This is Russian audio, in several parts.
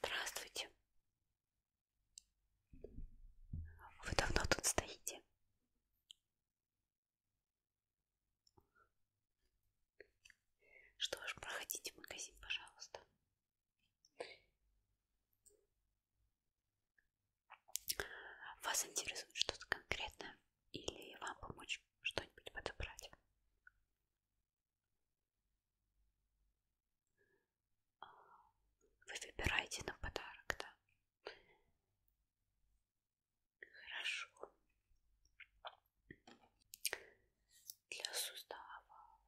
Здравствуйте. Вы давно тут стоите? Что ж, проходите в магазин, пожалуйста. Вас интересует что-то конкретное или вам помочь что-нибудь подобрать? Вы выбираете на подарок, да? Хорошо. Для суставов.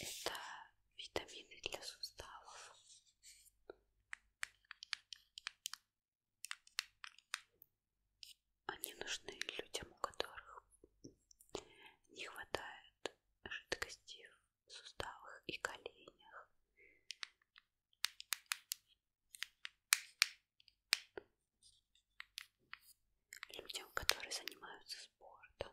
Это витамины для суставов. Они нужны людям, у которых не хватает жидкости в суставах и коленях. Людям, которые занимаются спортом.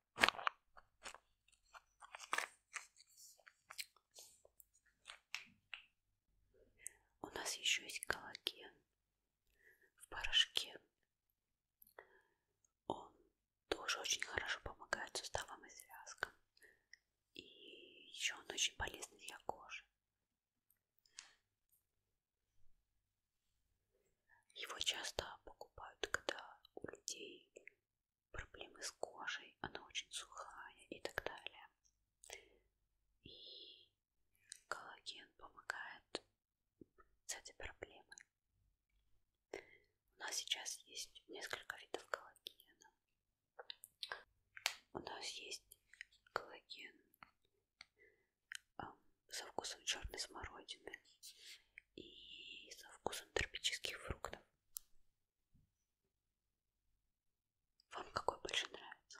У нас еще есть коллаген в порошке. Он тоже очень хорошо помогает суставам и связкам. И еще он очень полезный для кожи. Его часто покупают, когда у людей проблемы с кожей, она очень сухая и так далее. И коллаген помогает с этой проблемой. У нас сейчас есть несколько видов коллагена. У нас есть коллаген эм, со вкусом черной смородины и со вкусом тропических фруктов. Вам какой больше нравится?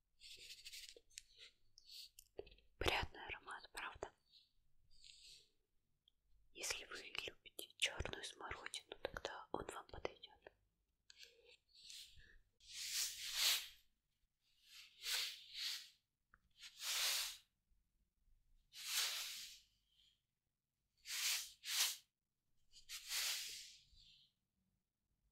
Приятный аромат, правда? Если вы любите черную смородину, тогда он вам подойдет.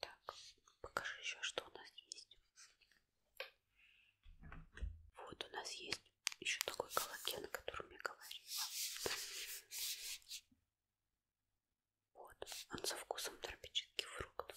Так, покажи еще, что у нас есть. Вот у нас есть еще такой коллаген, о котором я говорила. Вот, он со вкусом тропических фруктов.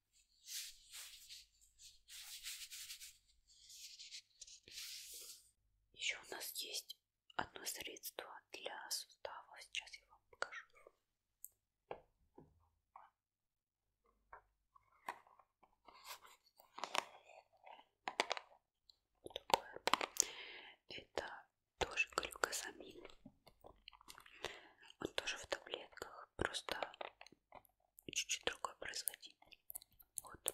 Еще у нас есть одно средство для суставов. Сейчас я вам покажу. Другое. Это тоже глюкозамин. Он тоже в таблетках. Просто и чуть-чуть другой производитель. Вот.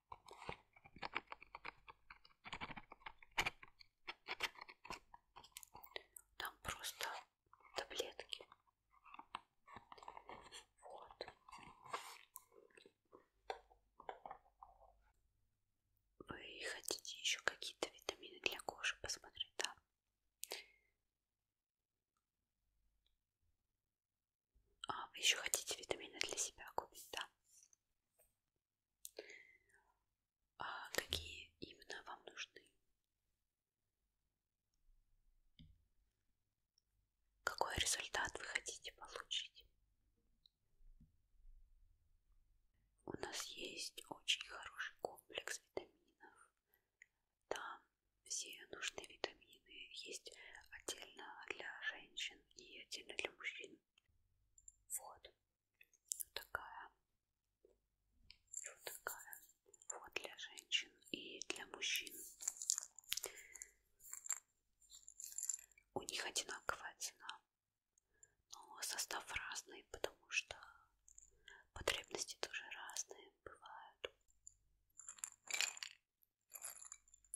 Там просто таблетки. Вот. Вы хотите еще какие-то витамины для кожи посмотреть, да? А, вы еще хотите витамины для себя купить, да? А какие именно вам нужны? Какой результат вы хотите получить? У нас есть очень хороший комплекс витаминов. Там все нужные витамины есть отдельно для женщин и отдельно для мужчин. Вот. Вот такая. Вот такая. Вот для женщин и для мужчин. У них одинаковая цена. Но состав разный, потому что потребности тоже разные бывают.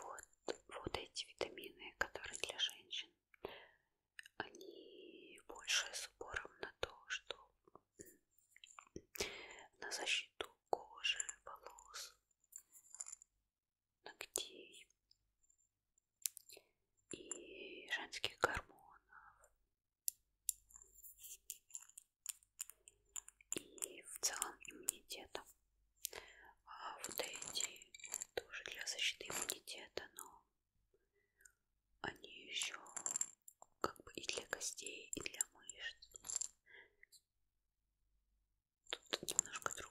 Вот, вот эти витамины, которые для женщин они больше с упором на то, что на защиту кожи, волос, ногтей и женских гормонов. И в целом иммунитета. А вот эти тоже для защиты иммунитета, но они еще как бы и для костей, и для мышц. Тут немножко другое.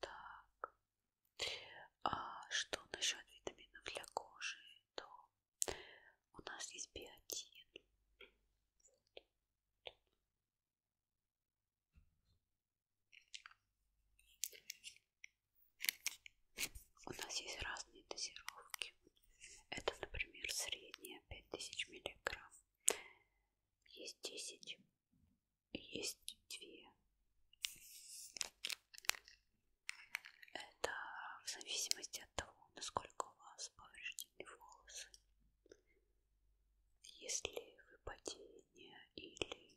Так, а что насчет витаминов для кожи? То у нас есть биотин. У нас есть разные дозировки. Это, например, средняя 5000 миллиграмм. Есть 10, есть 2. Это в зависимости от того, насколько у вас повреждены волосы. Если вы потение или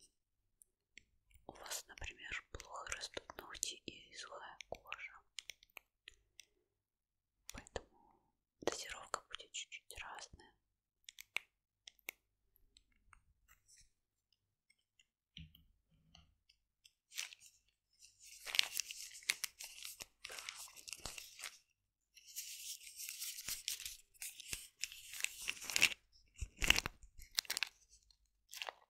у вас, например, плохо растут ногти и сухая кожа. Поэтому дозировка будет чуть-чуть разная.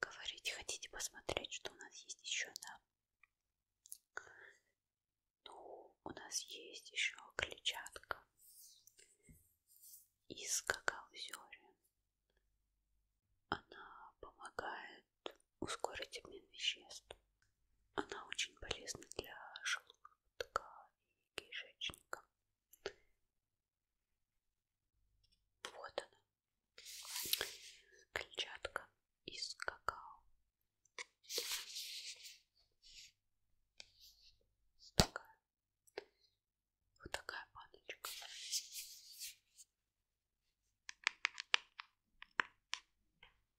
Говорите, хотите посмотреть, что у нас есть еще, да? Ну, у нас есть еще клетчатка из какао-зерен. Она помогает ускорить обмен веществ. Она очень полезна для желудка желудка и кишечника. Вот она, клетчатка из какао. Такая. Вот такая баночка.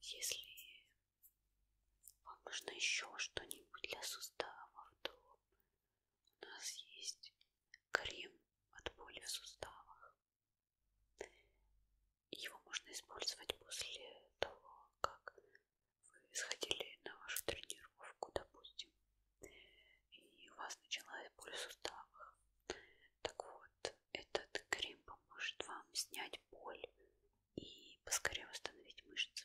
Если вам нужно еще что-нибудь для суставов, то у нас есть крем от боли в суставах. Его можно использовать после того, как вы сходили на вашу тренировку, допустим, и у вас началась боль в суставах. Так вот, этот крем поможет вам снять боль и поскорее восстановить мышцы.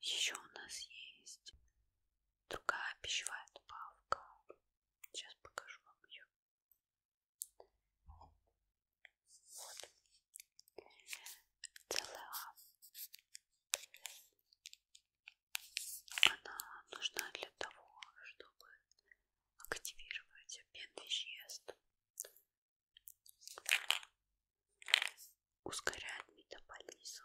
Еще у нас есть другая пищевая добавка. Сейчас покажу вам ее. Вот. Целая. Она нужна для того, чтобы активировать обмен веществ ускоряет метаболизм.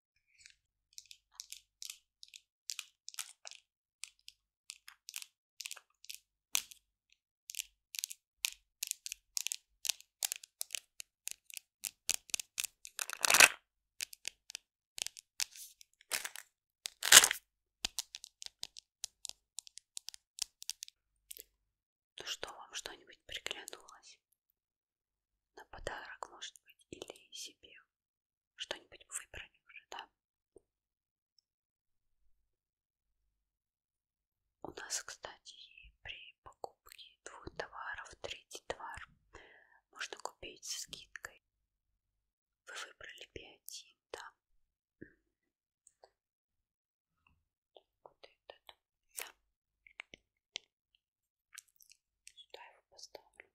Ну что, вам что-нибудь приглянулось? На подарок, может быть, или себе. Что-нибудь выбрали уже, да? У нас, кстати, при покупке двух товаров третий товар можно купить со скидкой. Вы выбрали биотин, да? Вот этот, да. Сюда его поставлю.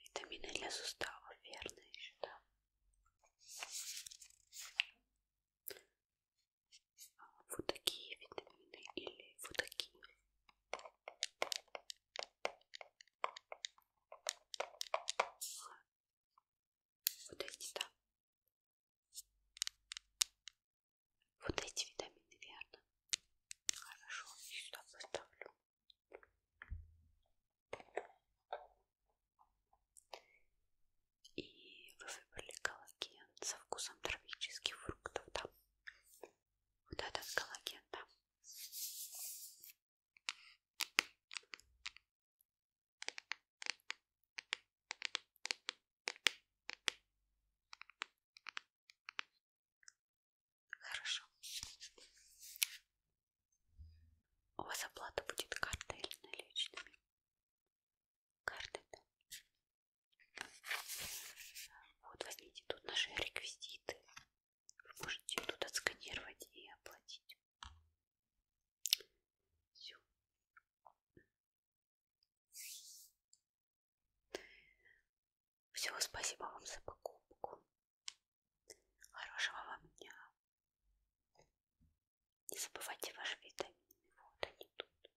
Витамины для сустава, верно еще, да? А, вот такие витамины или вот такие. Вот эти, да. Вот эти витамины, верно? Хорошо, я сюда поставлю. И вы выбрали коллаген со вкусом тропических фруктов, да? Вот этот коллаген, да? Хорошо. У вас оплата будет картой или наличными? Картой, да. Вот возьмите тут наши реквизиты. Вы можете тут отсканировать и оплатить. Все. Все, спасибо вам за покупку. Хорошего вам дня. Не забывайте ваши витамины. Вот они тут.